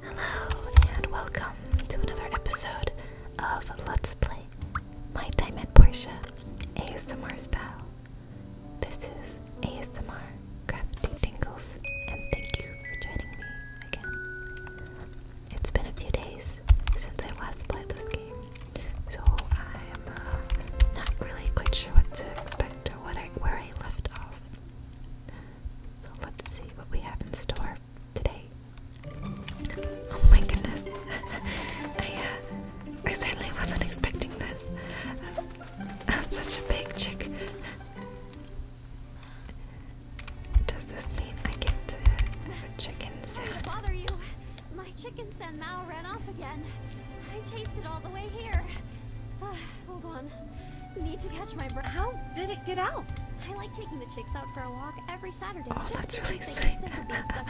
Hello and welcome to another episode of Let's Play My Time at Portia ASMR style. This is ASMR Gravity Tingles and thank you for joining me again. It's been a few days since I last played this game, so I'm uh, not really quite sure what to expect or what I, where I left off. So let's see what we have in store today. Oh my goodness! Uh, I certainly wasn't expecting this. Uh, that's such a big chick. Does this mean I get to chicken soon? Sorry to bother you. My chicken San Mao ran off again. I chased it all the way here. Ah. Hold on. Need to catch my breath. How did it get out? I like taking the chicks out for a walk every Saturday. Oh, that's really sick. The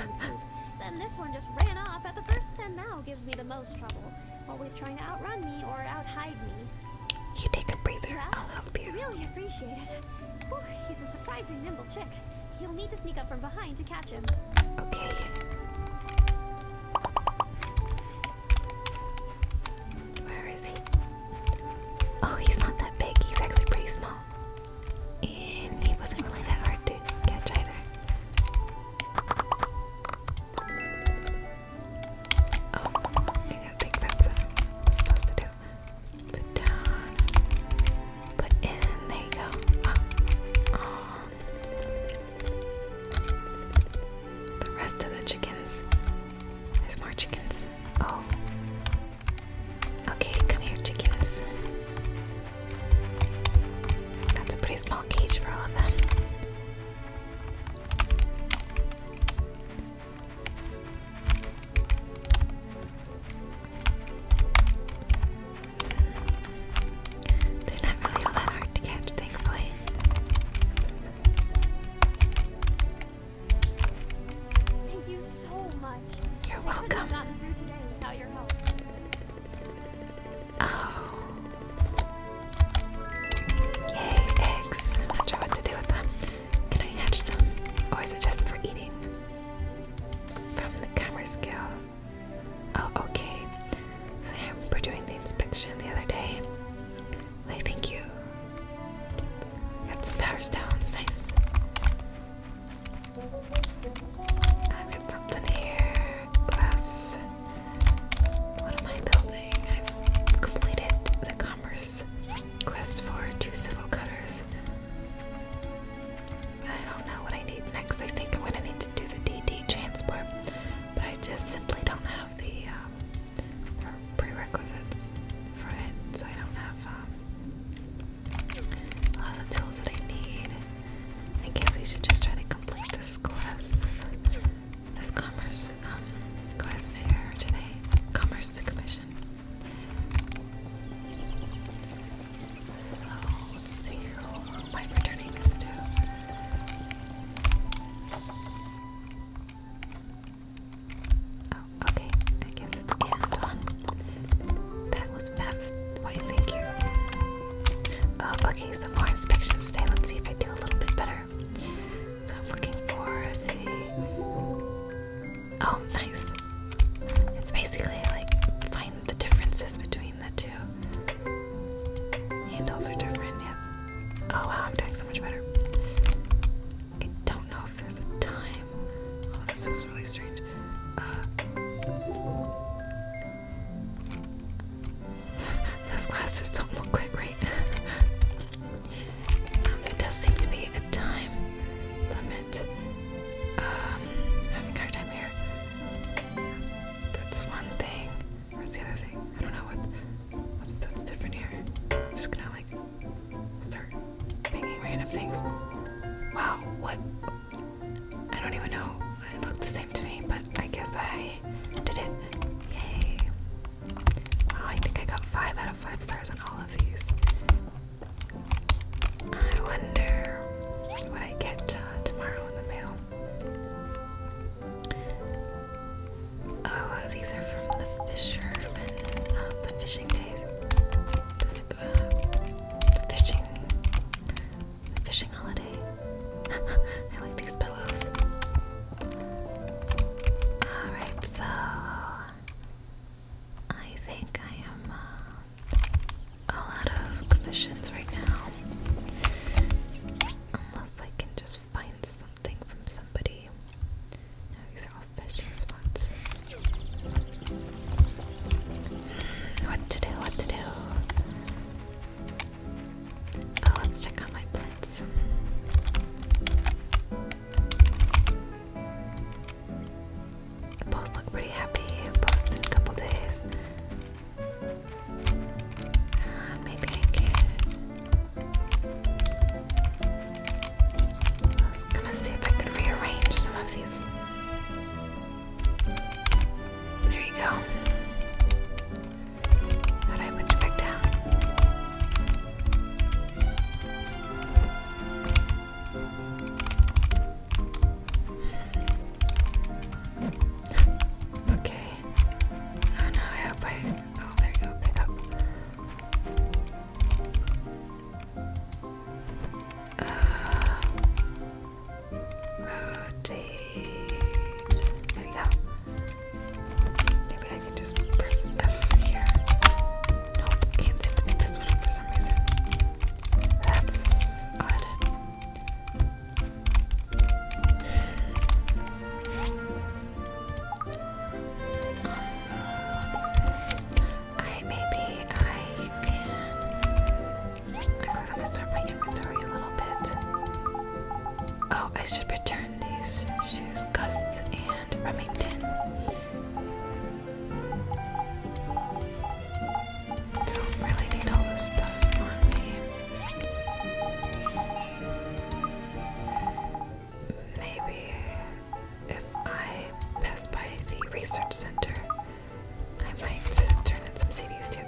then this one just ran off at the first, and now gives me the most trouble. Always trying to outrun me or outhide me. You take a breather. Yeah? I'll help you. Really appreciate it. Whew, he's a surprisingly nimble chick. You'll need to sneak up from behind to catch him. Okay. Where is he? Oh, he's not that big. He's actually pretty small. And he wasn't really that hard to catch either. Oh, I don't think that's supposed to do. Put down. Put in. There you go. oh. Um, the rest of the chickens there's more chickens. Oh. Okay, come here, chickens. That's a pretty small cage for all of them. They're not really all that hard to catch, thankfully. Thank you so much. You're I welcome. Gotten through today without your help. Oh. Yay, eggs. I'm not sure what to do with them. Can I hatch some? Or is it just for eating? From the camera scale. Oh, okay. So I remember doing the inspection the other day. I thank you. Got some power stones, nice. i got something here. Glass. What am I building? I've completed the commerce quest for two civil cutters. I don't know what I need next. I think I'm gonna need to do the DD transport, but I just simply don't have the um, or prerequisites for it, so I don't have um, all the tools that I need. I guess we should just try to complete this quest, this commerce um, quest here today, commerce commission. So let's see who am I returning this to. Oh, okay. I guess it's Anton. That was fast. Why, thank you. Oh, okay. Some more inspections today. Let's see if I do a little bit better. So I'm looking for the. Oh, nice. It's basically like find the differences between the two. Handles are different, yeah. Oh wow, I'm doing so much better. I don't know if there's a time. Oh, this is really strange. Uh, those glasses don't look quite right. Um, there does seem to be a time limit. Um, having a hard time here. That's one thing. What's the other thing? I don't know what. What's, different here? I'm just gonna like start making random things. Wow, what? I don't even know. It looked the same to me, but I guess I did it. Yay. Wow, I think I got five out of five stars on all of these. I wonder what I get uh, tomorrow in the mail. Oh, uh, these are from the fishermen, uh, the fishing days, the, uh, fishing, fishing holiday. I like these pillows. All right, so I think I am uh, all of commissions right now, unless I can just must find something from somebody. these are all fishing spots. What to do, what to do? Oh, let's check on my plants. Both look pretty happy, in a couple days. Uh, maybe I can I was gonna see if I could rearrange some of these. There you go. How do I put you back down? Okay. Oh no, I hope I. Oh, there you go, pick up. Uh, rotate. There we go. Maybe I could just press F here. Nope, can't seem to pick this one for some reason. That's odd. I maybe I can. let me start my inventory a little bit. Oh, I should return these shoes, Gusts and Remington. Don't really need all this stuff on me. Maybe if I pass by the research center, I might turn in some CDs too.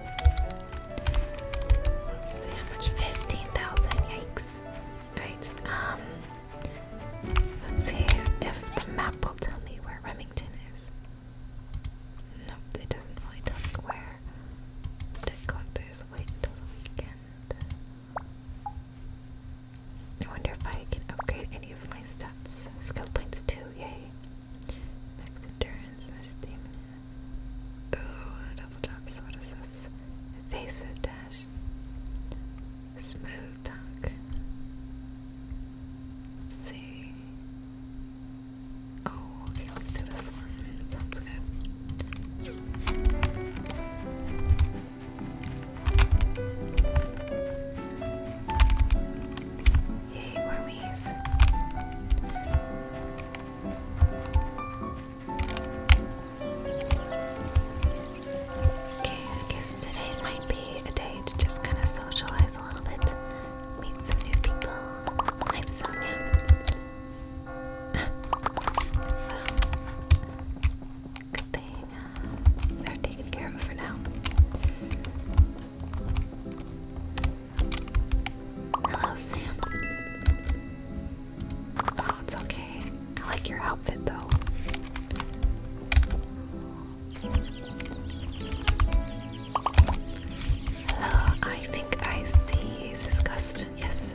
Let's see how much. 15,000, yikes. Alright, um, let's see if the map will tell me where Remington is. Nope, it doesn't really tell me where. collectors wait until weekend. I wonder if I can upgrade any of my stats. Skill points too, yay. Max endurance, my stamina. Ooh, double jumps, what is this? Evasive dash. Smooth talk. Let's see. Oh, okay, let's do this one. Sounds good. Yay, wormies. Okay, I guess today might be a day to just kind of socialize a little bit, meet some new people. Hi, Sonia. good thing they're taking care of for now. Hello, Sam. Oh, it's okay. I like your outfit, though. Hello, I think I see. Is this Gust? Yes,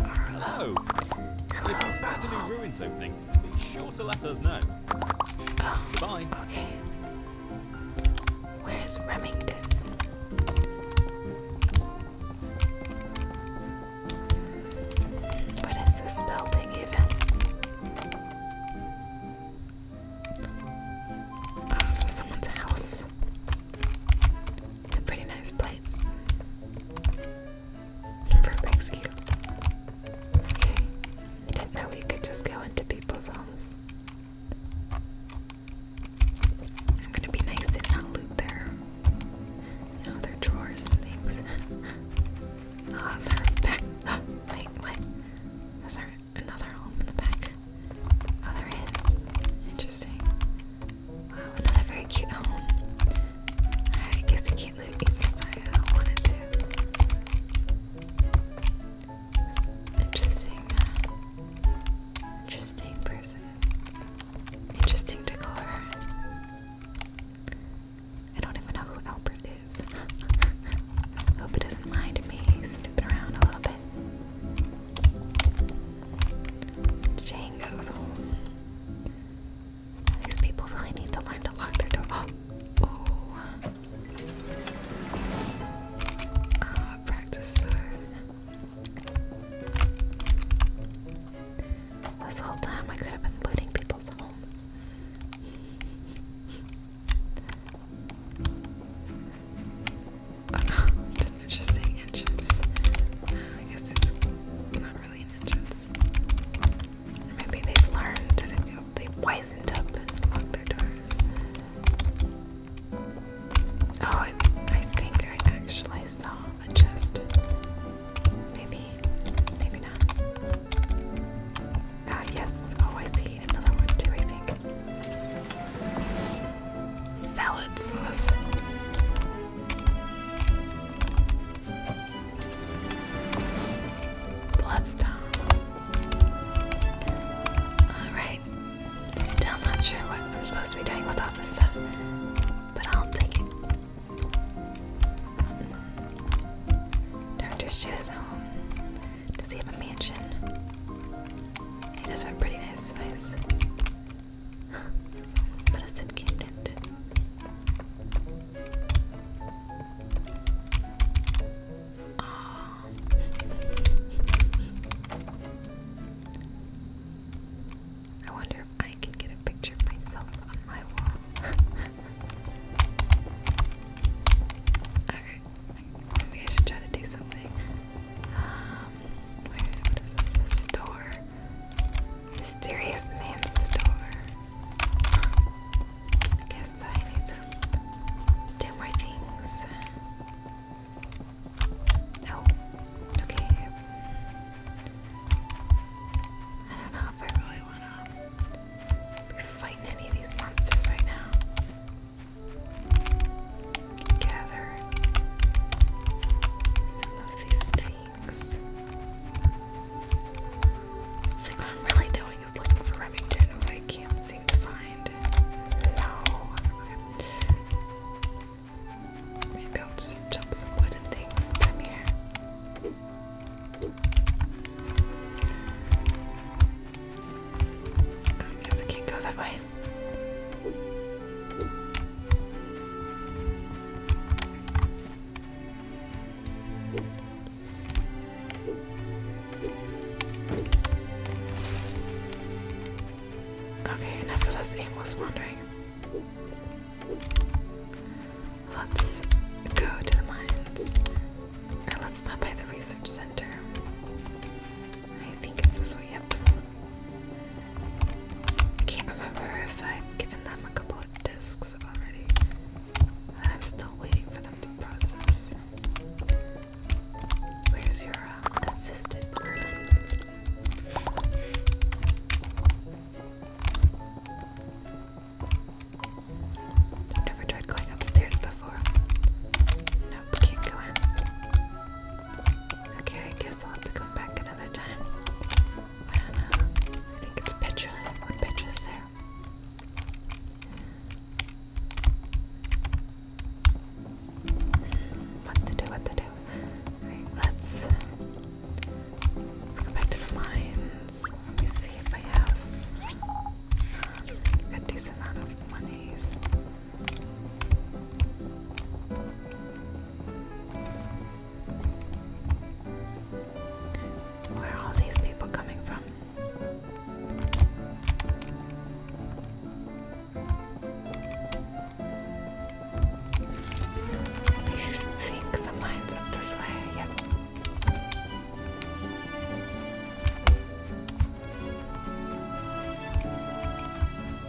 Hello. If you find a new ruins opening, be sure to let us know. Oh, Goodbye. Okay. Where's Remington? What is this building even? Oh, is someone's house? It's a pretty nice place for a Okay. I we could just go into people's homes. I'm gonna be nice and not loot their, you know, their drawers and things. Ah, oh, back. wait, what? Is there another home in the back? Oh, there is. Interesting. Wow, another very cute home. I guess I can't live even if I wanted to. Interesting, uh, interesting person. Interesting decor. I don't even know who Albert is. Hope he doesn't mind me snooping around a little bit. Shane goes home. These people really need to learn to lock their door. Oh, oh. Uh, practice sword. This whole time I could have been looting people's homes. Oh no, it's I guess it's not really an Maybe they've learned, they they've wisened up and locked their doors. Oh, I, think I actually saw a chest. Maybe, maybe not. Ah, yes. Oh, I see another one too, I think. Salad sauce. Bloodstone. Alright. Still not sure what I'm supposed to be doing with all this stuff, but I'll take it. Dr. Shia's home. Does he have a mansion? He does have a pretty nice place. Ah. I wonder if I can get a picture of myself on my wall. maybe I should try to do something where, what is this? store? Mysterious man's store. guess I need to do more things. Oh, okay. I don't know if I really want to be fighting any of these monsters right now gather some of these things. what I'm really doing is looking for Remington, who I can't seem to find. No. Maybe I'll just chop some wooden things I'm here. I guess I can't go that way. Okay, enough of this aimless wandering. Let's go to the mines. Or let's stop by the research center. I think it's this way, yep. I can't remember if I've given them a couple of discs already. I'm still waiting for them to process. Where's your uh, assistant, Merlin? I've never tried going upstairs before. Nope, can't go in. Okay, I guess I'll have to come back another time. I don't know. I think it's Petra. What Petra's there? What to do, what to do. Alright, let's let's go back to the mines. Let me see if I have um, a decent amount of monies. Where are all these people coming from? You think the mine's up this way? Yep.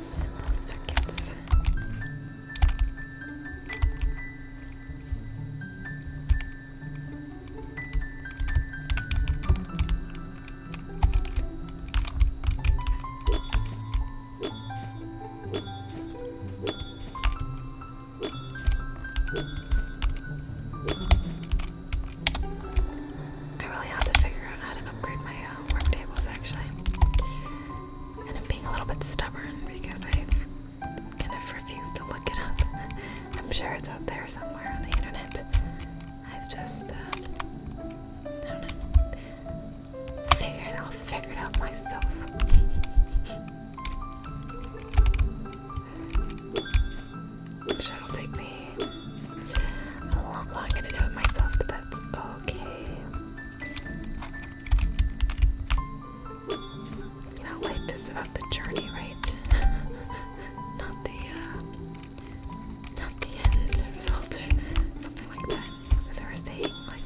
Small circuits. I really have to figure out how to upgrade my uh, actually. And I'm being a little bit stubborn because i kind of refused to look it up. I'm sure it's out there somewhere on the internet. I've just, uh, I don't know. I'll figure it out myself. Which will take me a lot longer to do it myself, but that's okay. You life is about the journey, right? not the uh, not the end result something like that. Is there a saying like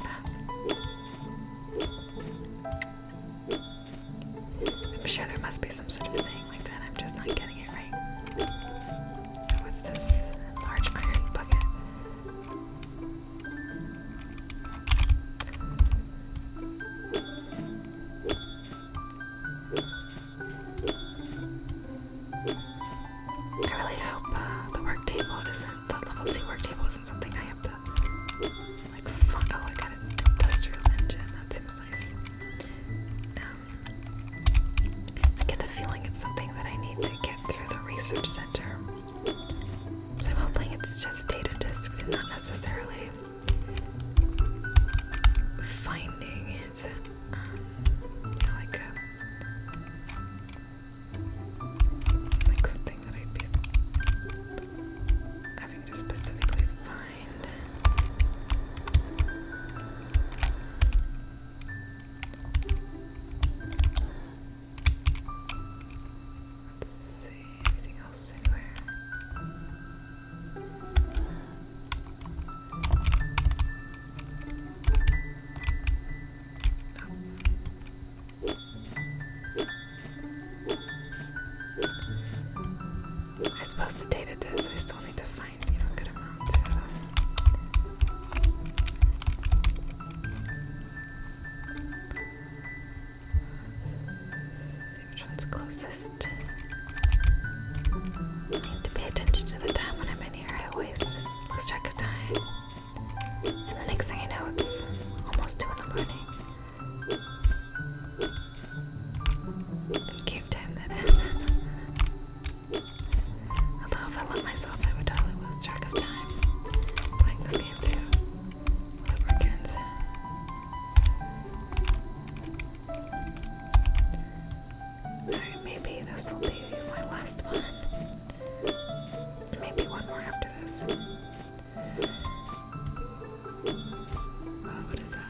that? I'm sure there must be some sort of thing like that. I'm just not getting it right. What's oh, this? Large iron bucket. I really hope uh, the work isn't the level two work isn't something I have to like. Fun oh, I got an industrial engine. That seems um, I get the feeling it's something that I need to get through the research center. I'm hoping it's just data disks and not necessarily finding it um, like something that I'd be having to specifically find mind. Let's see, anything else anywhere? No. Oh. I suppose the data does. I still need to find, a good amount See which one's closest. need to pay attention to the time when I'm in here. I always track of time. And the next thing I know, it's almost 2 in the morning. Game time that is. Although if I let myself, I would totally lose track of time playing this game too. Lubricant. Alright, maybe this will be my last one. Maybe one more after this. Oh, what is that?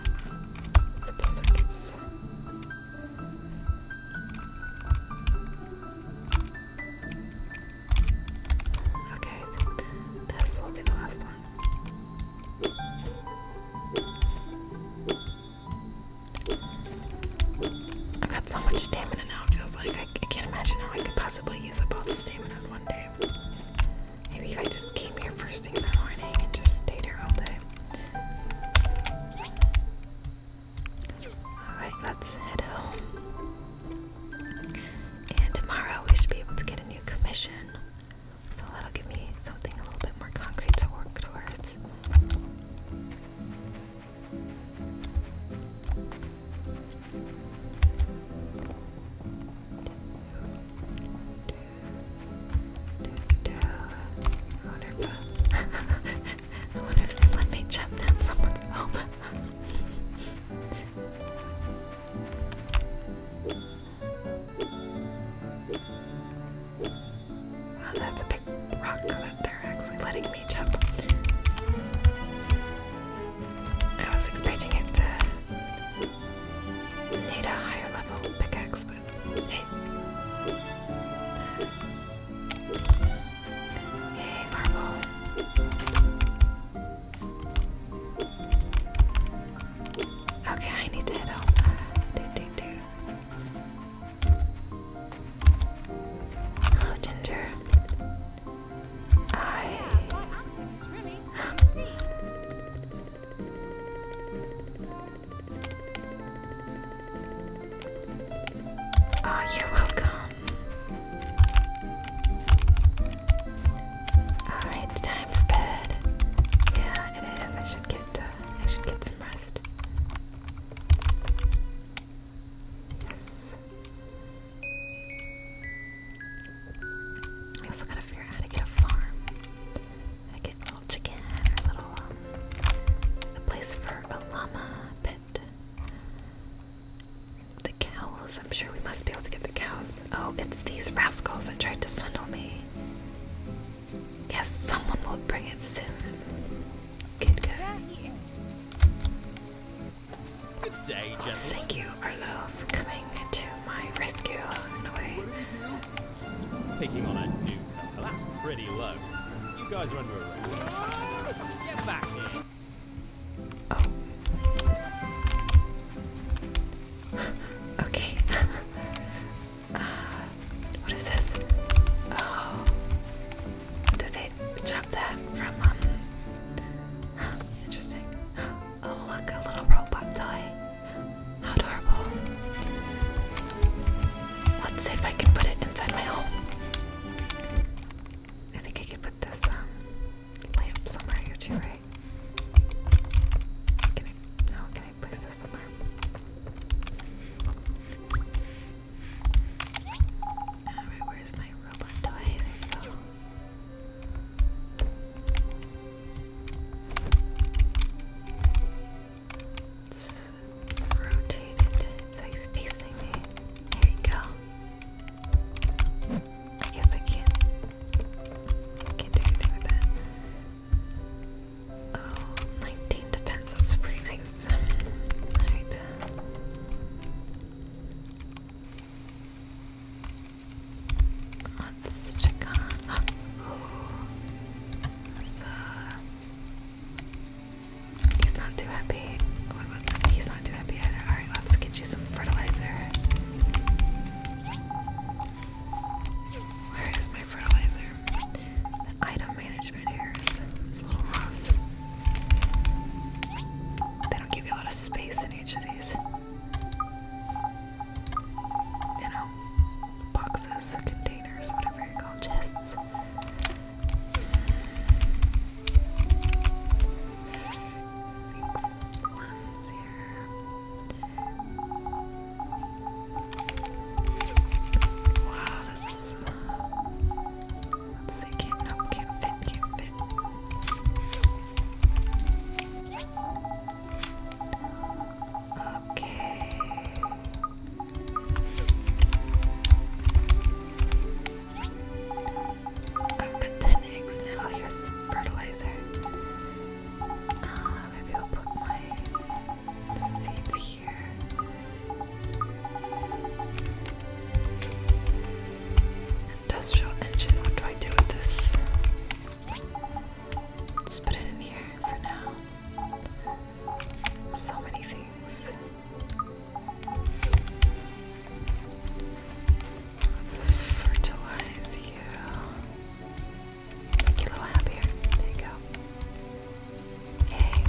Simple circuits. Okay, this will be the last one. I've got so much stamina now, it feels like. I, can't imagine how I could possibly use up all this stamina in one day. Maybe if I just came here first thing in the morning and just stayed here all day. Alright, let's head home. And tomorrow we should be able to get a new commission. So that'll give me something a little bit more concrete to work towards. I wonder if, they let me jump down someone's home. wow, that's a big rock that they're actually letting me jump. I was expecting it to need a higher level pickaxe, Hey. Hey, purple. Okay, I need to head home. Hello, Ginger. I. Oh, you're welcome. Alright, it's time for bed. Yeah, it is. I should get uh, I should get some rest. Yes. I also gotta figure out to get a farm chicken, little chicken, or little a place for a llama pet. The cows. I'm sure we must be able to get the cows. Oh, it's these rascals that tried to swindle me. Yes, someone will bring it soon. Good, good. day, thank you, Arlo, for coming to my rescue in a way. Picking on a new That's pretty low. You guys are under arrest. Get back here. Oh. okay. Uh, what is this? Oh. Did they chop that from, um, interesting. Oh, look, a little robot toy. How adorable. Let's see if I can put it inside my home. I think I could put this um, lamp somewhere here too, right? Can I, no, can I place this somewhere? Alright, where's my robot toy? There we go let rotate it. It's like it's me. There you go. I guess I can't. do anything with that. Oh, defense. That's pretty nice. Alright he's not too happy. he's not too happy either. Alright, let's get you some fertilizer. Where is my fertilizer? item management here is, a little rough. They don't give you a lot of space in each of these you know, boxes, containers, whatever you call chests. Wow, this is. let's see, can't, nope, can't fit, can't fit. Okay. I've got 10 eggs now. Here's fertilizer. Uh, maybe I'll put my seeds here. Industrial engine. What do I do with this? Let's put it in here for now. So many things. Let's fertilize you. Make you a little happier. There you go. Yay.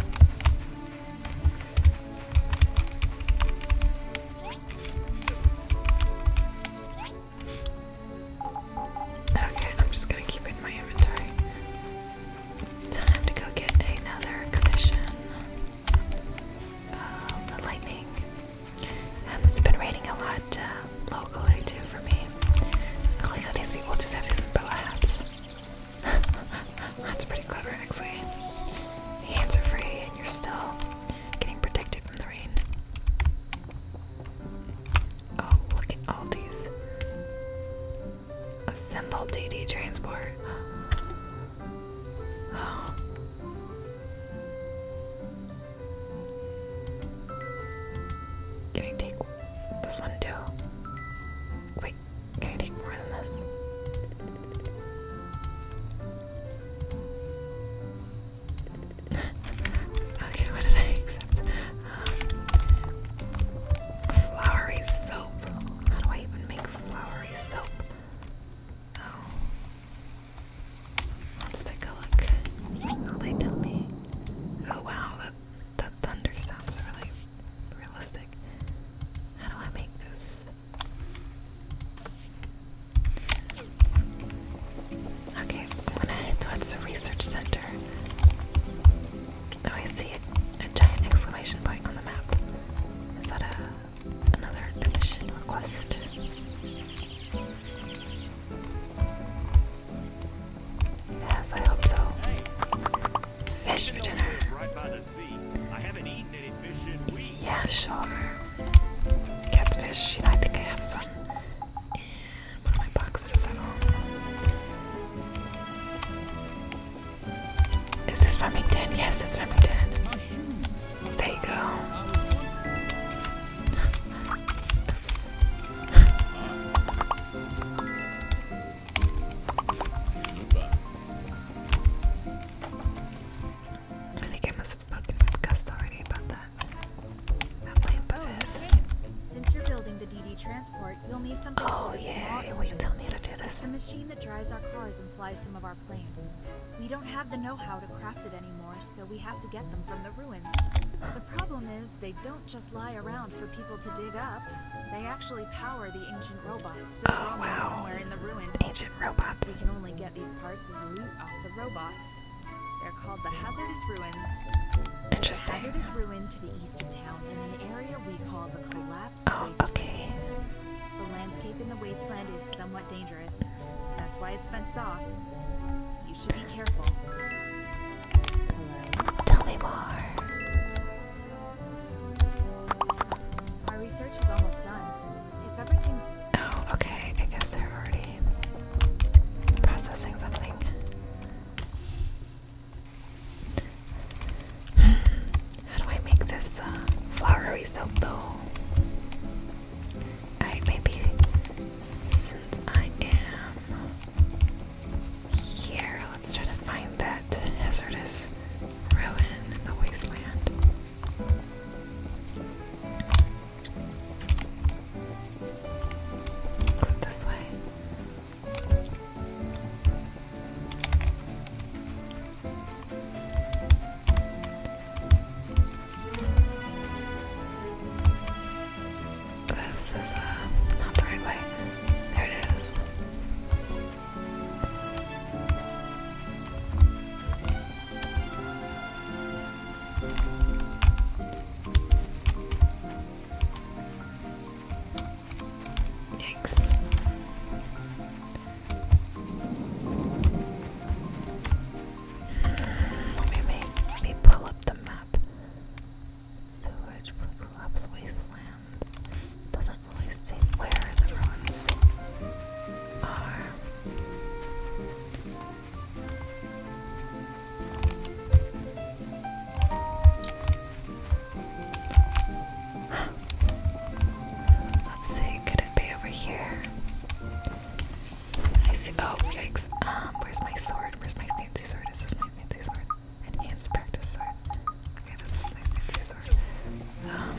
Okay, I'm just gonna keep it in my inventory. Time to go get another commission. Um, the lightning. And um, it's been raining a lot um, locally too for me. I how these people just have these umbrella hats. That's pretty clever, actually. hands are free and you're still getting protected from the rain. Oh, look at all these. Assemble TD transport. Can I take this one too? Wait, can I take more than this? okay, what did I accept? Flowery soap. How do I even make flowery soap? Oh. Let's take a look. they tell me? Oh wow, that that thunder sounds really realistic. How do I make this? Okay, I'm gonna head towards the research center. Oh, I see a, giant exclamation point on the map. Is that a, another commission request? Yes, I hope so. Fish for dinner. Yeah, sure. Catfish, you know, I think I have some. Is this Remington? Yes, it's Remington. There you go. I think I must have spoken with Gus already about that. That lamp part, will need something oh, yeah. small Will you tell me how to do oh, this? It's a machine that drives our cars and flies some of our planes. We don't have the know-how to craft it anymore, so we have to get them from the ruins. The problem is, they don't just lie around for people to dig up. They actually power the ancient robots still oh, somewhere in the ruins. Ancient robots. We can only get these parts as loot off the robots. They're called the Hazardous Ruins. Interesting. The the oh, Okay. The landscape in the wasteland is somewhat dangerous. That's why it's fenced off. You should be careful. Tell me more. Our research is almost done. If everything Oh, okay. I guess they're already processing something. How do I make this uh, flowery soap though? maybe since I am here, let's try to find that hazardous ruin in the wasteland. this way? This is uh, not the right way. There it is. Yikes. Let me pull up the map. So it collapse wasteland. doesn't really say where the ruins are. Let's see, could it be over here? oh, yikes. Um, where's my sword? Where's my fancy sword? Is this my fancy sword? Enhanced practice sword. Okay, this is my fancy sword. Um,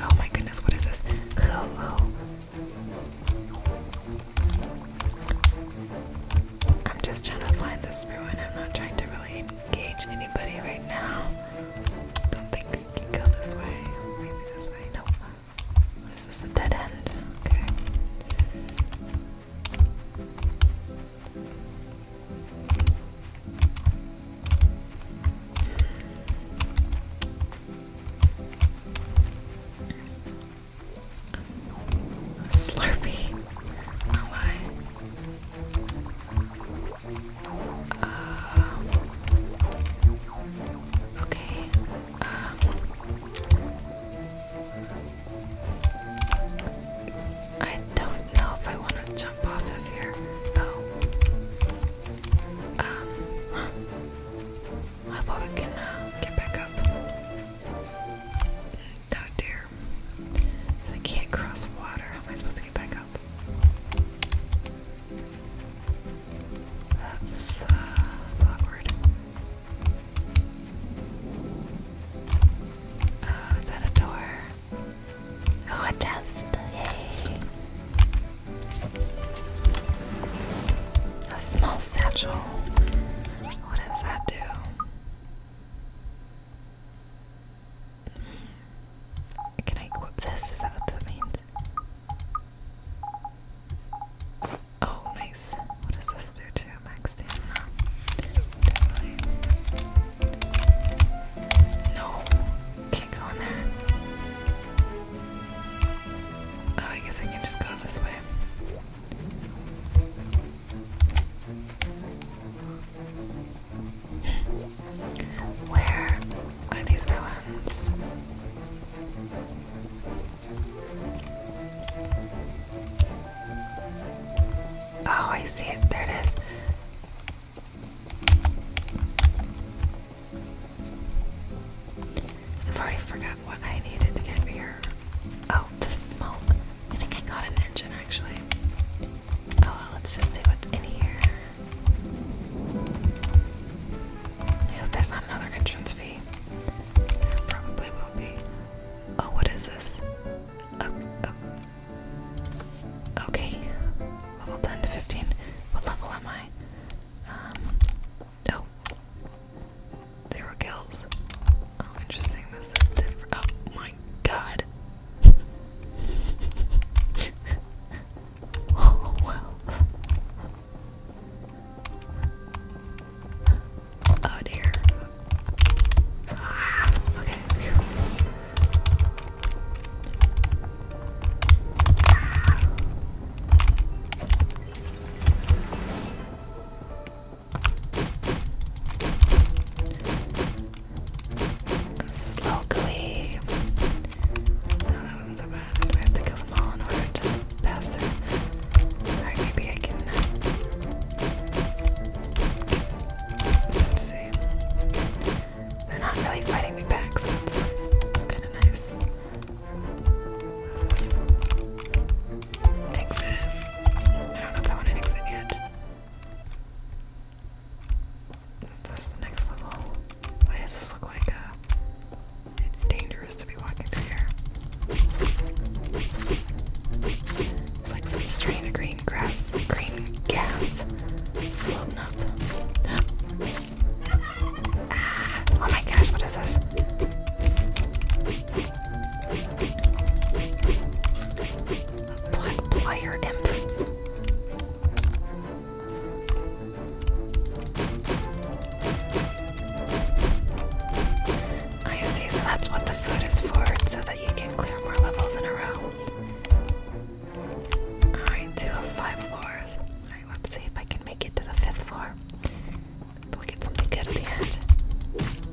oh my goodness, what is this? I'm just trying to find the ruin. I'm not trying to really engage anybody right now. Don't think we can go this way. Maybe this way. Nope. What is this? A dead end. Okay. Slurpee. Oh uh, my. okay. Uh, I don't know if I want to jump off of here. Oh. Um. I hope we can uh, get back up out oh, there. So I can't cross water. How am I supposed to get back up? That's, uh, awkward. Oh, is that a door? Oh, a Yay! A small satchel. What does that do? Can I equip this? Is that what that means? Oh, nice. What does this do to max No, can't go in there. Oh, I guess I can just go this way. Where are these ruins? Oh, I see it. There it is. I've already forgot what I needed to get here. Oh, the smoke. I think I got an engine actually. Oh, let's just see what's in here. I hope there's not another entrance fee. There probably will be. Oh, what is this? Okay. Level 10 to 15. What level am I? Um, oh. kills. Oh, interesting. This is different. Oh my god. oh, wow. Oh dear. okay. Slowly. Oh, that was so bad. Do I have to kill them all in order to pass through? maybe I can. Uh, let's see. They're not really fighting me back, so that's kind of nice. Exit. I don't know if I want to exit yet. That's the next level. Why does this look like a. Uh, it's dangerous to be walking through here. It's like some strain of green grass, green gas floating up. Ah, oh my gosh, what is this? player imp. I see, so that's what the food is for, so that you can clear more levels in a row. Alright, two of five floors. Alright, let's see if I can make it to the fifth floor. We'll get something good at the end.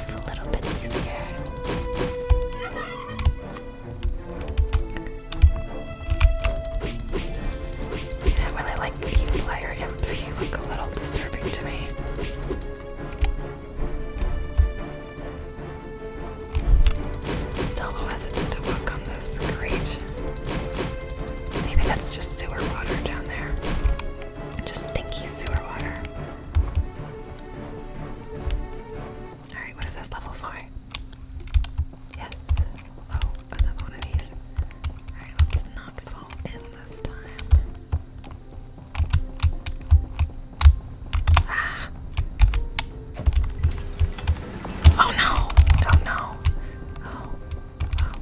I don't really like you player imp. You look a little disturbing to me. Still a little hesitant to walk on this. Great. Maybe that's just sewer water down there. Just stinky sewer water. Alright, what is this level for? Yes. Oh, another one of these. Alright, let's not fall in this time. Ah. Oh no! Oh no! Oh.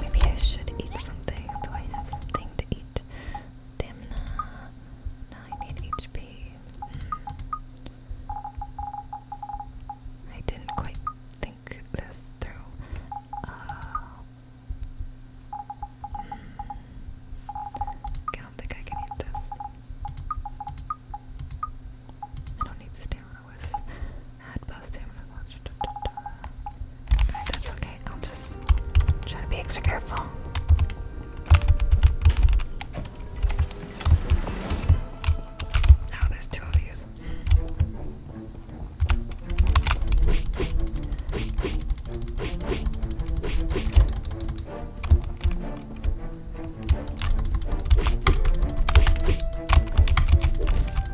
maybe I should eat something. Do I have something to eat? Stamina. Now I need HP. I didn't quite think this through. Uh, I don't think I can eat this. I don't need stamina with add both stamina. Da, that's okay. I'll just try to be extra careful. oh, there's two of these.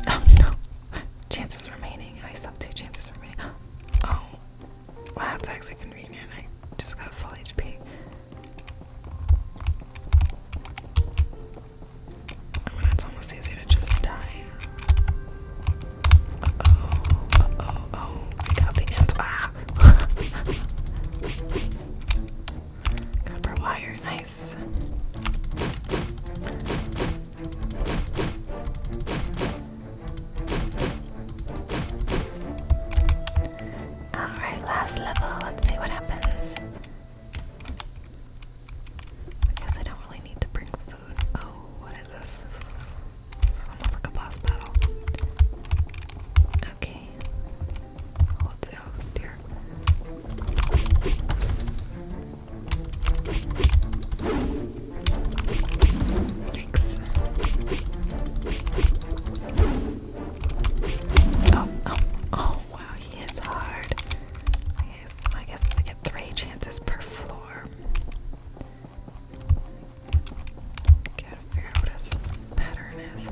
Oh no! Chances remaining. I still have two chances remaining. Oh, Wow, that's actually convenient. I just got full HP. I it's almost easier to just die. oh, oh, oh, we got the imp. Ah! Copper wire, nice. Alright, last level. Let's see what happens. I guess I don't really need to bring food. Oh, what is this? This almost like a boss battle. Okay. Let's see. Oh, Thanks. Oh, oh, oh, wow, he hits hard. I I guess I get three chances per floor. Gotta figure out what his pattern is.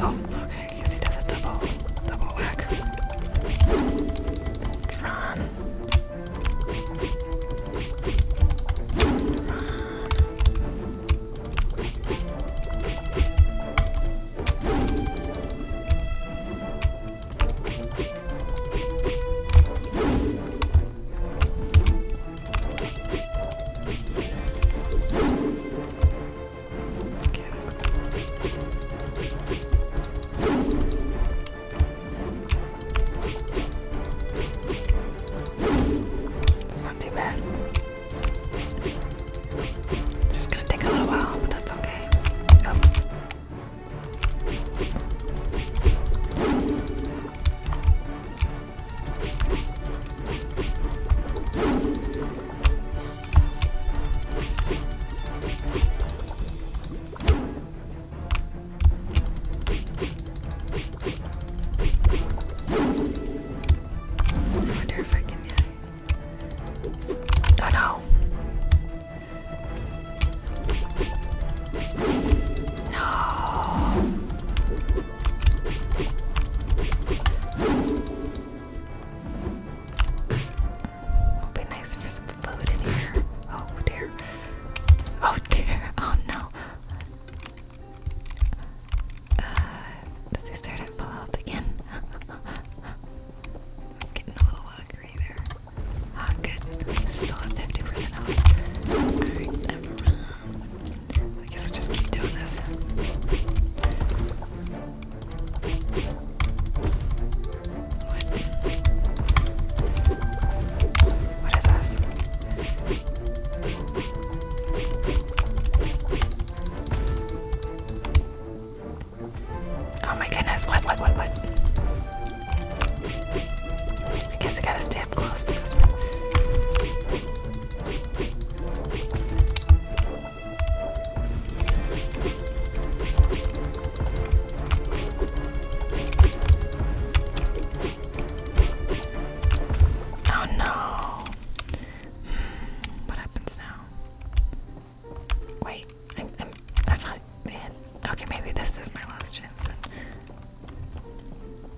Oh, okay, I guess he does a double, double whack. Run. Run. Not too bad. It's just gonna take a little while, but that's okay. Oops. I wonder if I can, yeah. Oh no! No! It'll be nice for some food in here. Oh dear. Oh dear. Oh no. Uh, does he start at full health again? it's getting a little hungry there. Ah, oh, good. Still at 50% health. I guess i just keep doing this. What? What is this? Oh my goodness, what, what, what, what? I guess I gotta stay close Oh no. Hmm, what happens now? Wait, i i thought they had. Okay, maybe this is my last chance.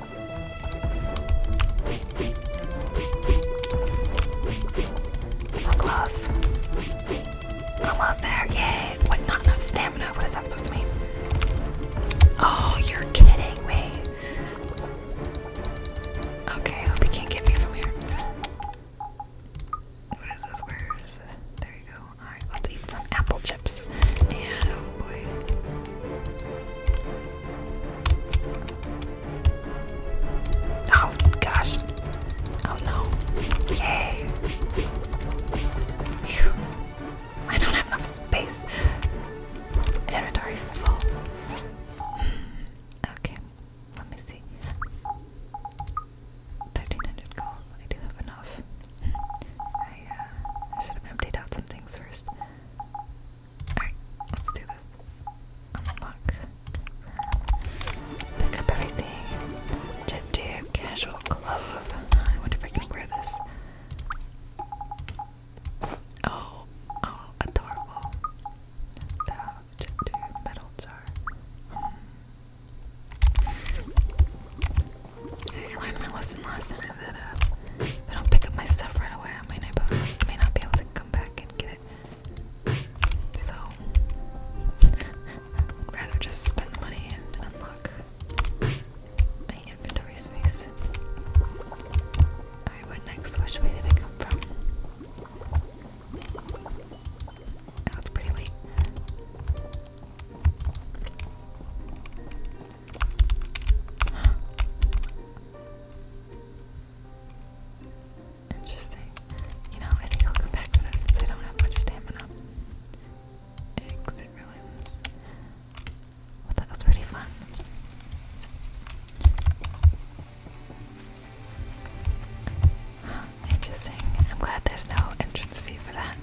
I'm close. there, yay. What, not enough stamina? What is that supposed to mean? Oh, you're kidding me. Okay, hope he can't get me from here. What is this? Where is this? There you go. Alright, let's eat some apple chips. And oh boy. Oh gosh. Oh no. Yay. I don't have enough space. Inventory full. Hmm. Okay. Let me see. 1300 gold. I do have enough. Hmm. Uh, I should have emptied out some things first. Alright, let's do this. Unlock. Pick up everything. Jet tube, casual clothes. Oh, I wonder if I can wear this. Oh, oh, adorable. Valve, jet tube, metal jar. Hmm. I learned my lesson last uh, I don't pick up my stuff right away, I may not, be able to come back and get it. So, rather just spend the money and unlock my inventory space. Alright, what next? Which way did it come from? Oh, it's pretty late. Interesting. You know, I think I'll come back to that since I don't have much stamina. Exit ruins. that was pretty fun. Interesting. I'm glad there's no entrance fee for that.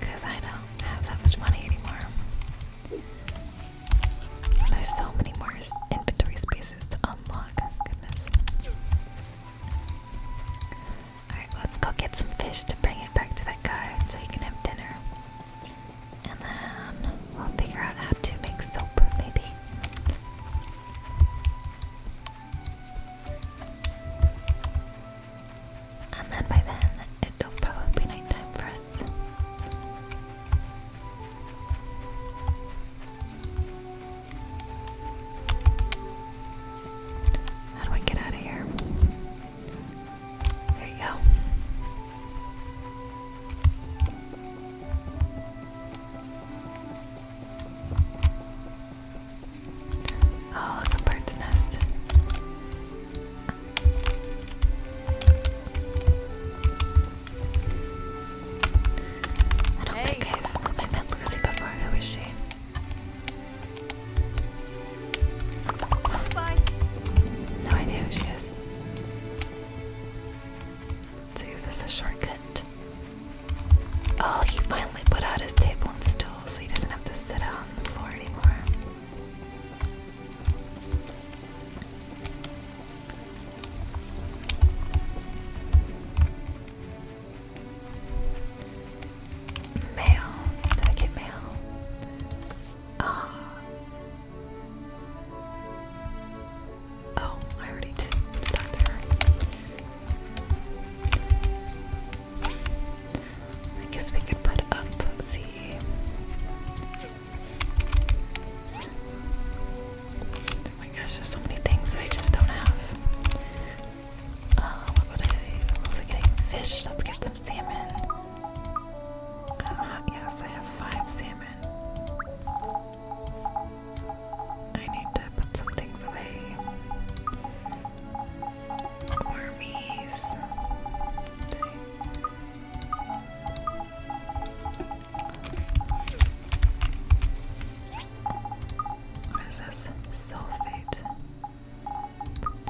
Because I don't have that much money anymore. There's so many more inventory spaces to unlock. Alright, let's go get some fish to bring it back to that guy so he can have dinner. And then we'll figure out how to make soap, maybe. And then by then, it'll probably be nighttime for how do I get out of here? There you go. Oh, look, bird's nest. I don't hey. think I've met Lucy before. Who is she? No idea who she is. see, is this a shortcut? Oh, he finally put out his table and stool so he doesn't have to sit on the floor anymore. Mail. Did I get mail? Uh, oh, I already did I guess we could put up the Oh my gosh, there's so many things that I just don't have. Uh, what would I? getting fish. Let's get some salmon. Uh, yes, I have five salmon. I need to put some things away. Wormies. What is this? Sulfate.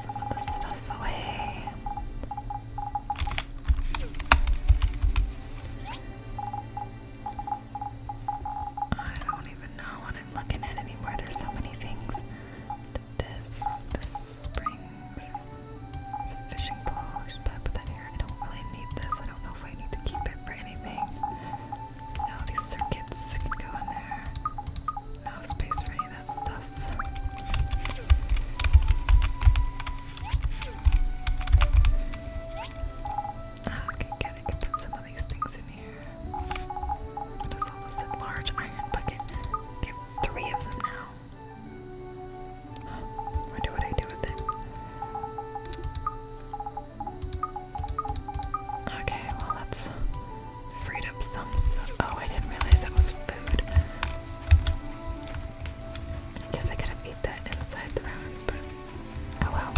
some of the stuff away. I don't even know what I'm looking at anymore. There's so many things. The spring, some fishing poles, but then here I don't really need this. I don't know if I need to keep it for anything. No, these circuits can go in there. No space for any of that stuff. Okay, good. I can put some of these things in here. What is all this? A large iron bucket. Get three of them now. Wonder what I do with it. Okay, well that's freed up some Oh, I didn't realize that was food. guess I could have eat that inside the rounds, but oh well.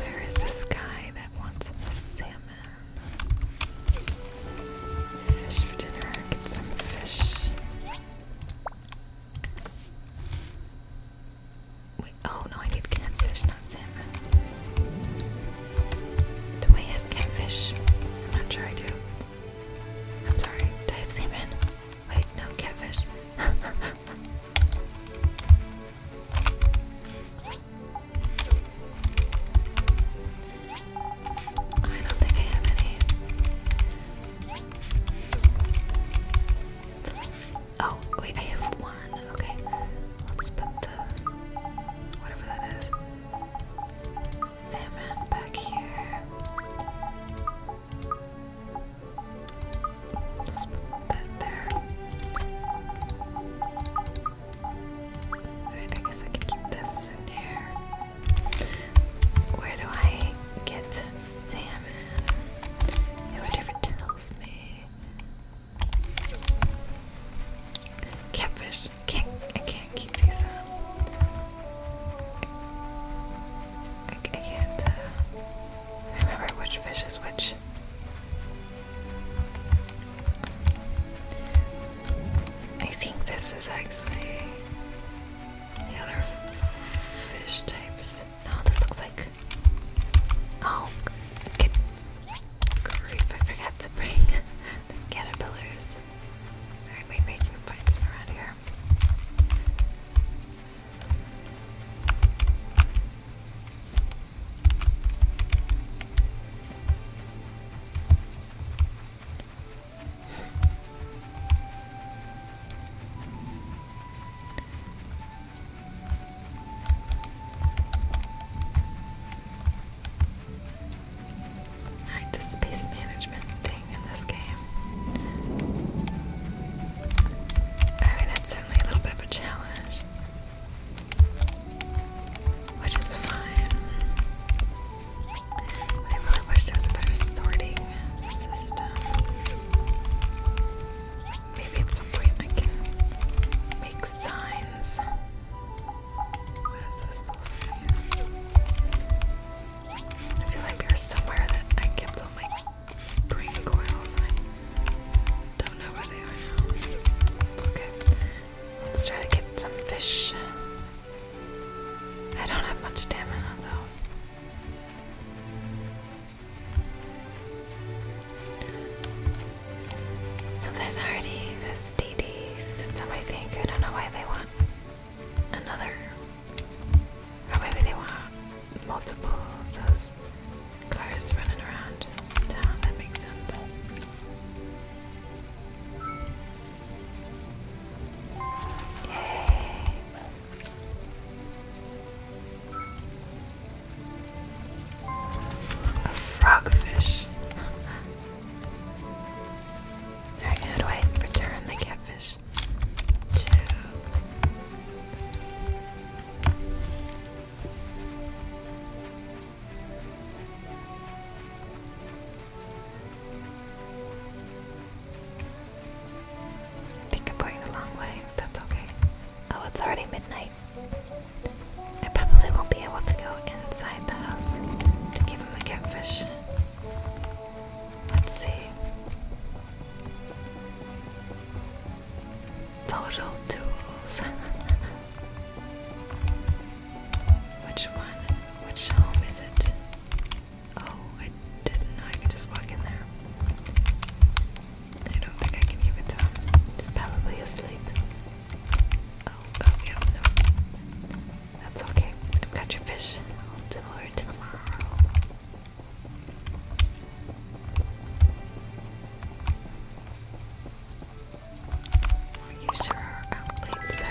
Where is this guy that wants salmon? Fish for dinner. Get some fish. Wait, oh no, I need catfish, not salmon. Do I have catfish? I'm not sure I do. I'm sorry, do I have salmon? Wait, no, catfish. I don't think I have any. Oh, wait, I have one. Okay. Let's put the whatever that is. Salmon back here. let put that there. I guess I can keep this in here. Where do I get salmon? Yeah, whatever tells me. Catfish. Can't I can't keep these on. Um, I, I can't uh, remember which fish is which. I think this is actually the other fish types. No, this looks like. Oh, good grief! I forgot to bring caterpillars. Alright, wait, wait, you can find some around here. I the space management thing in this game. I mean, it's certainly a little bit of a challenge, which is fine. I really wish there was a better sorting system. Maybe at some point I can make signs. I feel like there's somewhere that I kept all my spring coils. And I don't know where they are now. It's okay. Let's try to get some fish. I don't have much stamina though. So there's already this DD system, I think. I don't know why they want another. Or maybe they want multiple those cars running around town. That makes sense. A frogfish. Alright, how return the catfish? I think I'm going the long way. That's okay. Oh, it's already midnight. I probably won't be able to go inside the house to give him the catfish. Let's see. Total tools. Which one? Which home is it? Oh, I didn't know I could just walk in there. I don't think I can give it to him. He's probably asleep. Oh, oh yeah, no. That's okay. I've got your fish. I'll deliver it tomorrow. Are I'll use her outlet, sir.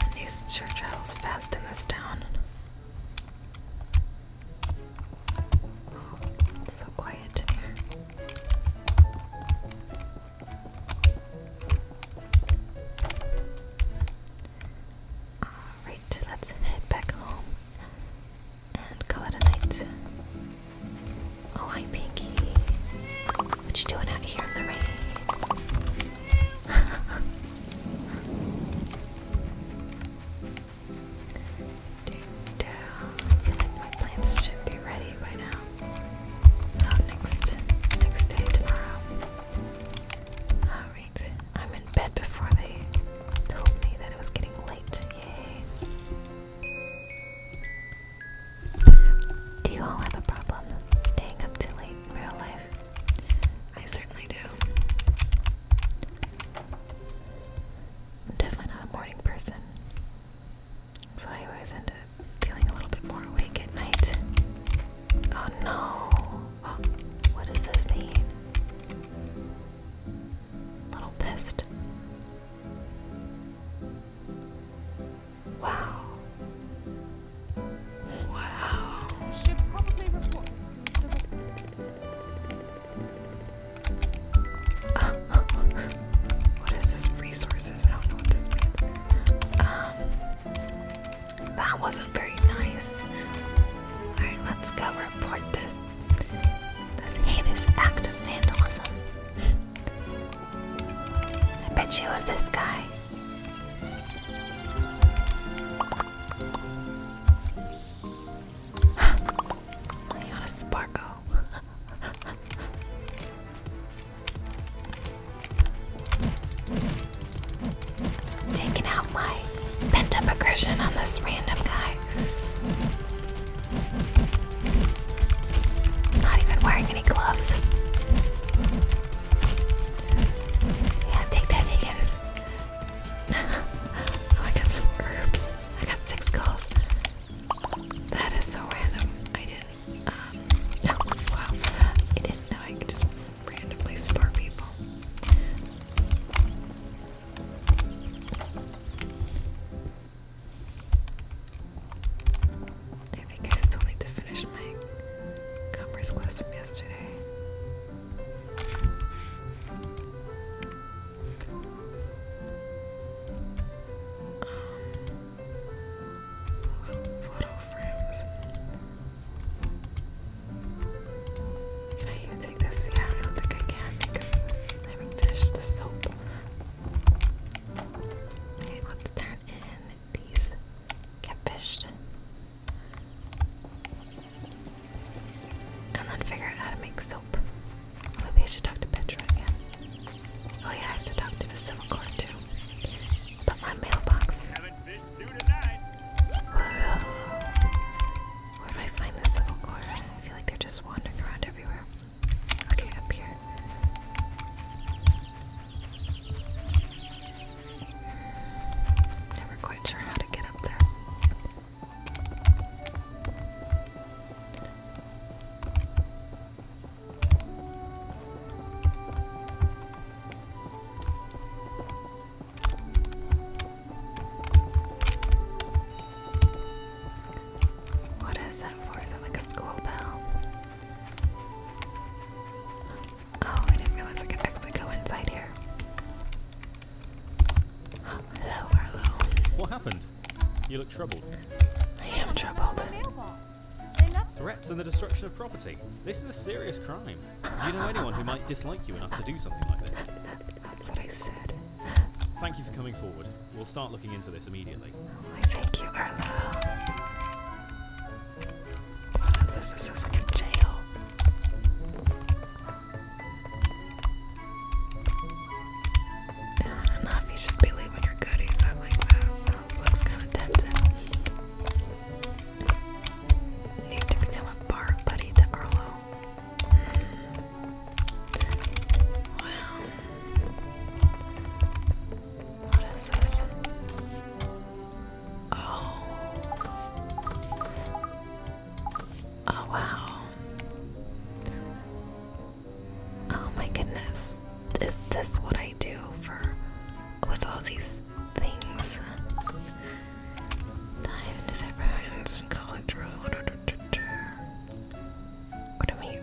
And these sure travels fast in this town. Oh, so quiet in here. Alright, let's head back home and call it a night. Oh, hi, Pinky. What you doing out here in the rain? Dude, I feel like my plants should be ready by now. Oh, next, next day, tomorrow. Alright, I'm in bed before they told me that it was getting late. Yay. Do you all have a problem staying up too late in real life? I certainly do. I'm definitely not a morning person, so I always end up feeling a little bit more awake at night. Oh no! what does this mean? Little pissed. Wow. Wow. what is this? Resources? I don't know what this um, that wasn't very nice. Alright, let's go report this. This heinous act of vandalism. I bet she was this guy. I got a Sparko. Taking out my pent up aggression on this random guy. Not even wearing any gloves. Yeah, take that, Higgins. Oh, I got some herbs. I got six calls. That is so random. I didn't. Um, no, wow. I didn't know I could just randomly spar people. I think I still need to finish my commerce class from yesterday. Um, photo frames. Can I even take this? Yeah, I don't think I can because I haven't finished the soap. Okay, let's turn in these catfish. And then figure out how to make soap. Maybe I should talk to Petra again. Oh yeah, I have to talk to the civil court too. But my mailbox. Where do I find the civil court? I feel like they're just wandering around everywhere. Okay, up here. Never quite sure how to get up there. What is that for? Is that like a school bell? Oh, I didn't realize I could actually go inside here. hello, Arlo. What happened? You look troubled. I am troubled. Threats and the destruction of property. This is a serious crime. Do you know anyone who might dislike you enough to do something like this? That's what I said. Thank you for coming forward. We'll start looking into this immediately. thank you, Arlo. this? is like a jail. I don't know if you should be leaving your goodies out looks kind of tempting. Need to become a bar buddy to Arlo. What is this? Oh. Oh, wow. Oh my goodness. Is this what I do for with all these things? Dive into their bones What do we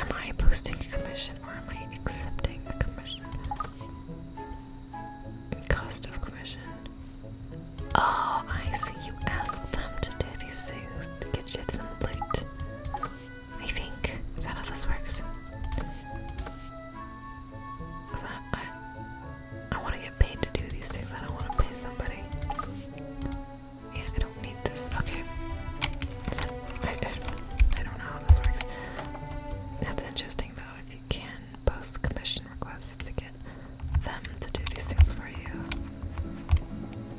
Am I posting a commission or am I accepting a commission? Cost of commission. Oh, I see. You ask them to do these things to get you some loot. I think. Is that how this works? Because I, I want to get paid to do these things. I don't want to pay somebody. Yeah, I don't need this. Okay. I, I, don't know how this works. That's interesting, though, if you can post commission requests to get them to do these things for you.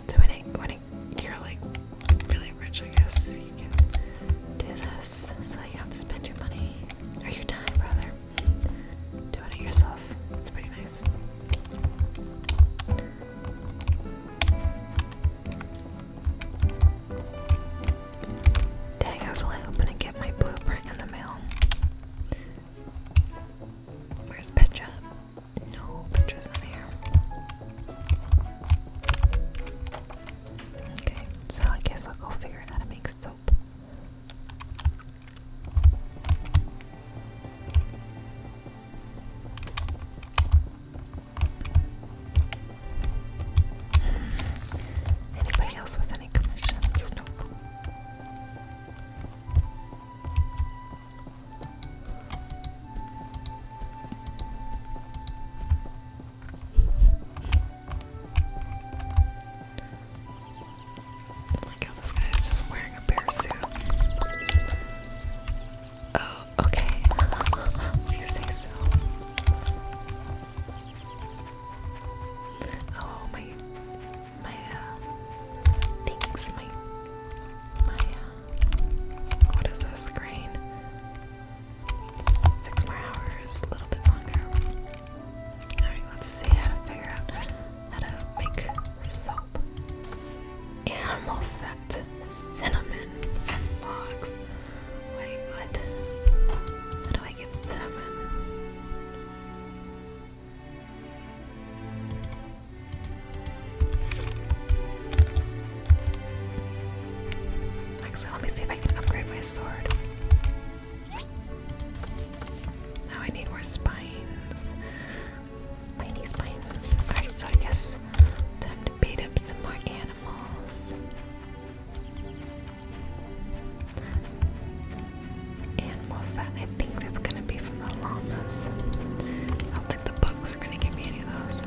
So when, when you're, like, really rich, I guess, you can do this so you don't have to spend your money, or your time, rather, doing it yourself. It's pretty nice. Dang, I was really hoping to get my blueprint in the mail. Where's Petra? No, Petra's not here. Okay, so I guess I'll go figure out how to make soap. Anybody else with any commissions? this guy is just wearing a bear suit. Oh, okay. Please say so. Oh my, my uh, things, my, my uh, what is this grain? Six more hours, a little bit longer. All right, let's see how to figure out how to make soap. Animal fat, cinnamon from Wait, what? How do I get cinnamon? Actually, let me see if I can upgrade my sword. Now I need more spines. Tiny spines. Alright, so I guess time to bait up some more animals. Animal fat, I think that's gonna be from the llamas. I don't think the bugs are gonna give me any of those.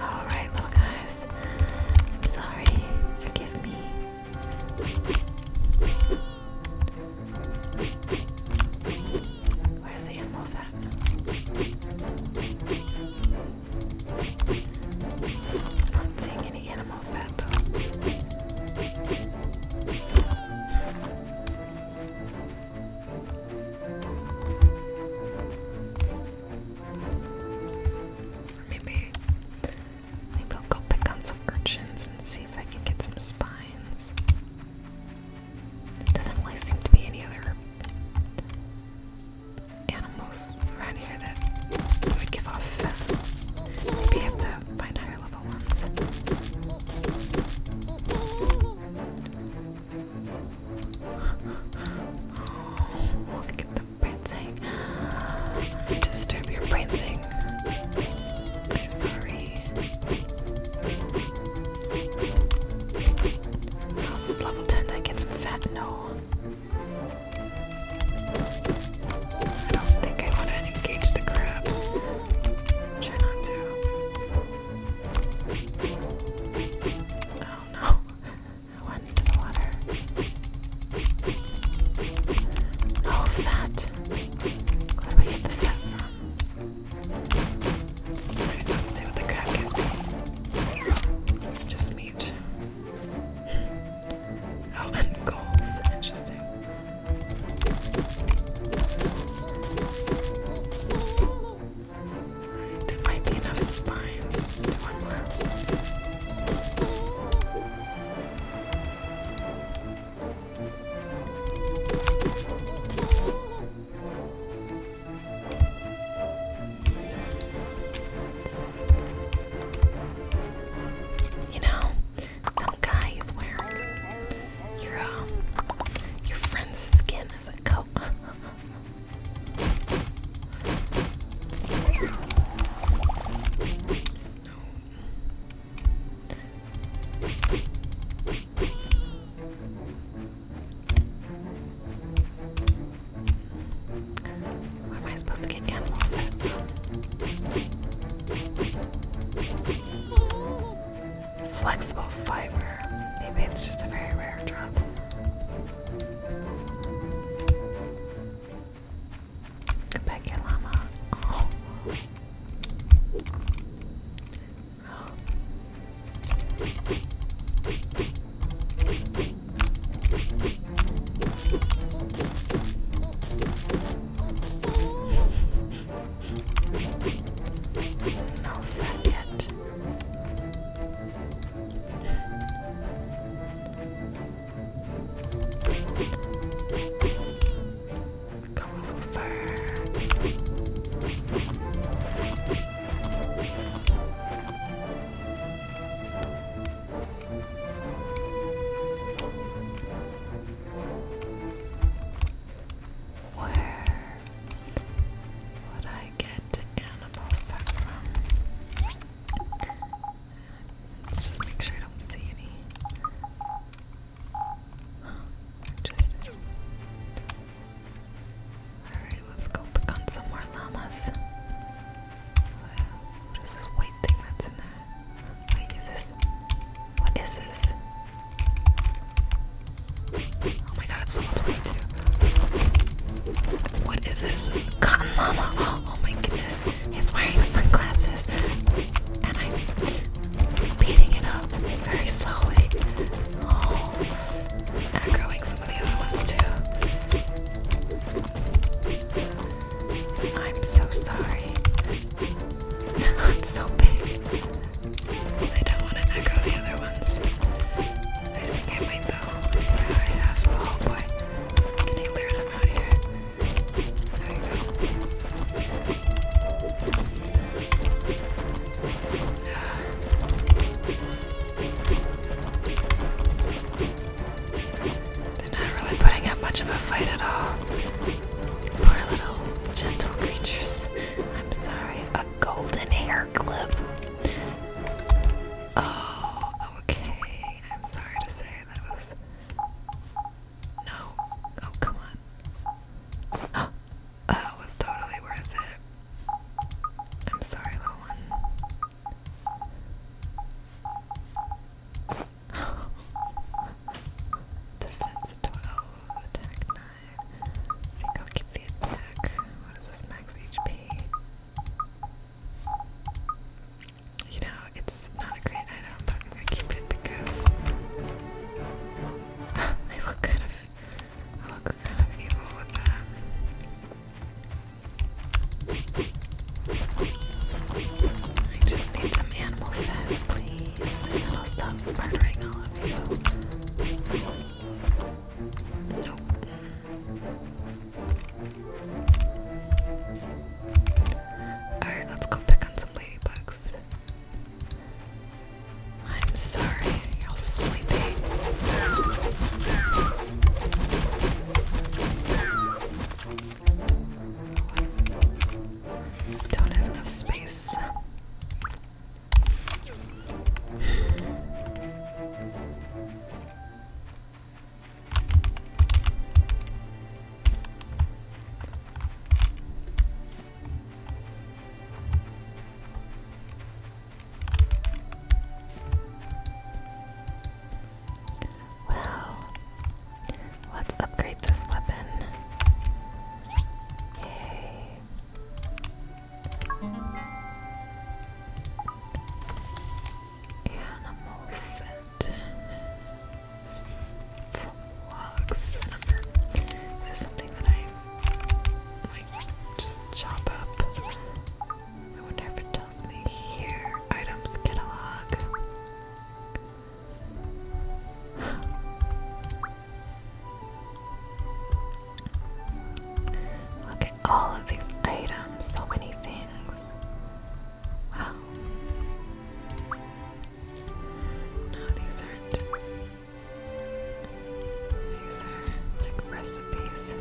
Alright, little guys. I'm sorry. Forgive me. Where's the animal fat? I'm not seeing any animal fat though. Maybe Maybe I'll go pick on some urchins and see if I can get some spines. doesn't really seem to be any other animals around here that would give off Maybe I have to find higher level ones. Oh, look at the fancy disturb your breathing. i sorry. How's level 10? I get some fat? No. I don't think I want to engage the crabs. Try not to. Oh no. I went into the water. No fat. Where do I get the what the crab gives me. Just meat. Oh, and goals. Interesting. there might be enough spines. Just one more. You know, some guy is wearing your um, your friend's skin as a coat. Why am I supposed to get down Flexible fiber. Maybe it's just a very rare drop. Come back here, llama. Oh. No fat yet. Come over. Where would I get animal fat from? Let's just make sure I don't see any. Interesting. Alright, let's go pick on some more llamas. What is this white thing that's in there? Wait, is this. What is this? Oh my god, it's so much white too. What is this? Cotton llama. Oh, oh my goodness. He's wearing sunglasses, and I'm beating it up very slowly. echoing oh, some of the other ones too. I'm so sorry. it's so big. I don't want to echo the other ones. I think I might though. Oh boy. Can I clear them out here? They're not really putting up much of a fight at all. Poor little gentle creatures. I'm sorry. A golden hair clip. Oh, okay. I'm sorry to say that was no. Oh, come on. that was totally worth it. I'm sorry, little one. Defense 12, attack 9. I think I'll keep the attack. What is this max HP? you know, it's not a great item, but i keep it because I look kind of, look kind of evil with that. I just need some animal fat, please, and then I'll stop murdering all of you. Nope. Alright, let's go pick on some ladybugs. I'm sorry, you're sleeping. Don't have enough space. Well, let's upgrade this weapon. Yay. Animal vlogs. I Is this something that I like just chop up? I wonder if it tells me here. Items catalog. Look at all of these items, so many things. Wow. No, these aren't. These are like recipes.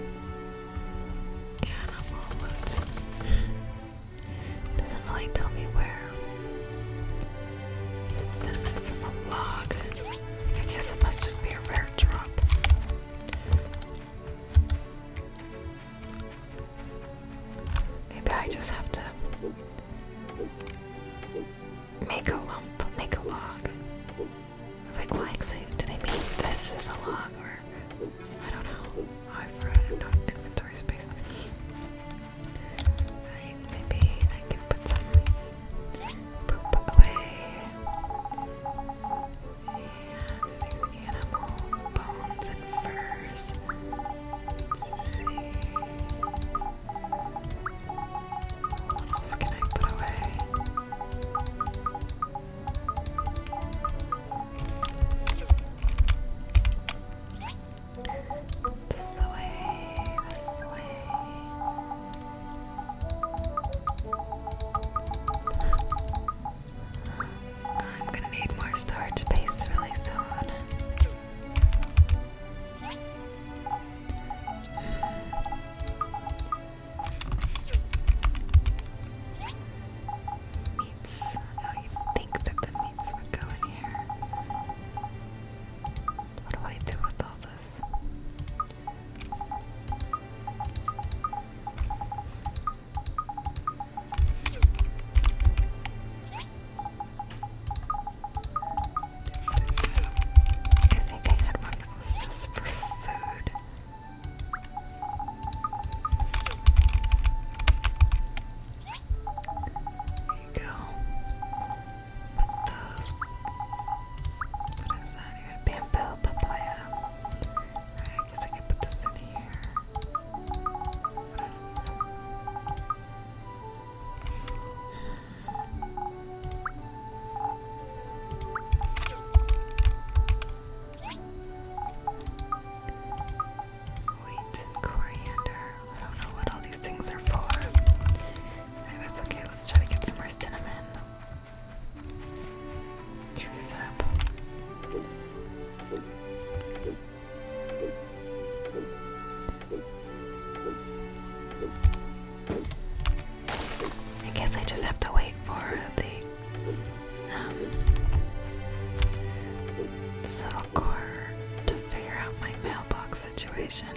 Animal food. Doesn't really tell me where. Cinnamon log. I guess it must just be a rare drop. Maybe I just have to make a lump, make a log. Wait, well, actually, do they mean this is a log or I don't know? Oh, I forgot inventory space. maybe I can put some poop away. animal bones and furs. Let's see. What else can I put away? This way, this way. I'm gonna need more storage space really soon. Meats. I think that the meats would go here. What do I do with all this? I think I had one that was just for food. There you go. Put those. What is that Bamboo papaya. I guess I can put this in here. What is Wheat coriander. I don't know what all these things are for. that's okay. Let's try to get some more cinnamon. Juice up. I guess I just have to wait for the um, Silcore to figure out my mailbox situation.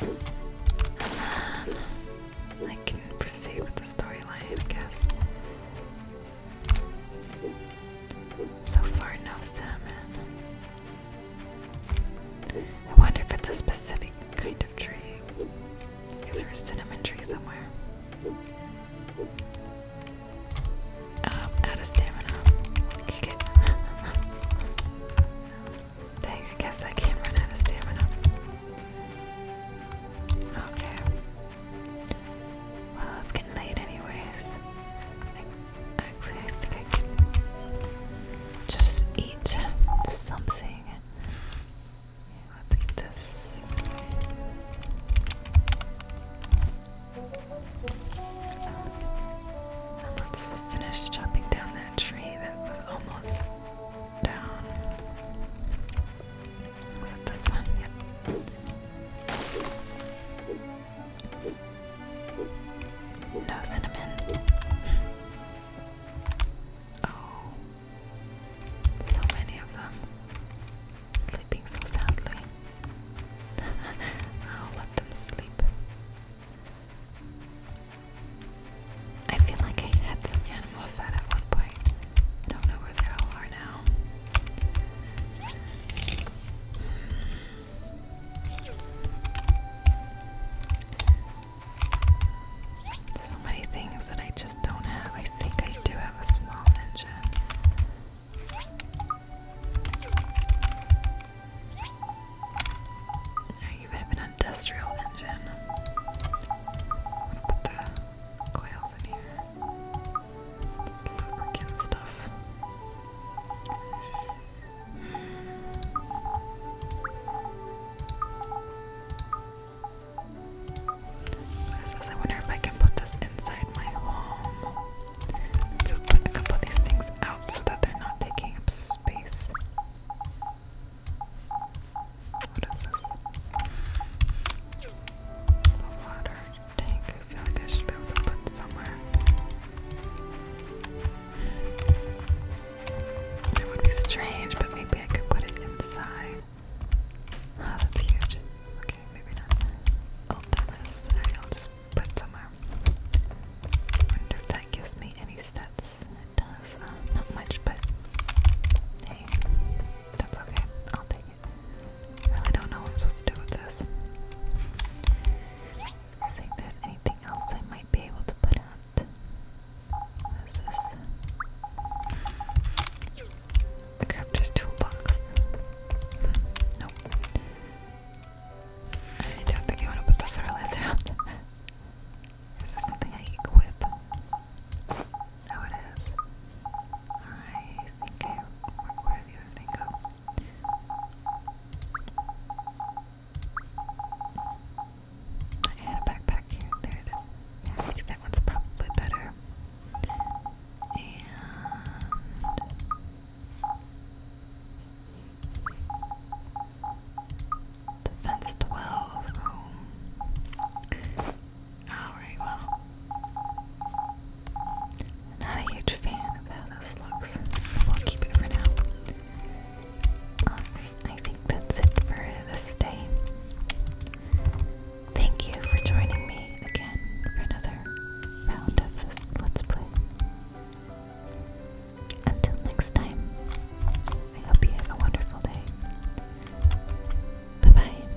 And then I can proceed with the storyline, I guess. So far, no salmon. I wonder if it's a specific kind of tree. Is there a cinnamon tree somewhere? Um, out of stamina. Kick Dang, I guess I can not run out of stamina. Okay. Well, it's getting late anyways. I can just eat something. let's eat this. Um, let's finish chopping down that tree that was almost down. Is it this one? No cinnamon. Oh, so many of them sleeping so soundly. I'll let them sleep. I feel like I had some animal fat at one point. don't know where they all are now. So many things that I just don't have. I think I do have a small engine. I even have an industrial engine. I'm gonna put the coils in here. This lubricant stuff. I wonder if I can put this inside my home. Maybe we'll put a couple of these things out so that they're not taking up space. What is this? The water tank. I feel like I should be able to put somewhere. It would be strange, but maybe I could put it inside. Oh, that's huge. Okay, maybe not. Oh, there is. I'll just put somewhere. wonder if that gives me any stats. does. Uh, not much, but hey, that's okay. I'll take it. I really don't know what I'm supposed to do with this see if there's anything else I might be able to put out. What is this? The crafter's toolbox. Nope. I don't think I want to put the fertilizer out. is this something I equip? Oh, it is. I think I. Where did the other thing go? I had a backpack here. There it is. Yeah, that one's probably better. And defense twelve. Oh. Alright, well. Not a huge fan of how this looks. We'll keep it for now. I think that's it for this day. Thank you for joining me again for another round of Let's Play. Until next time, I hope you have a wonderful day. Bye bye.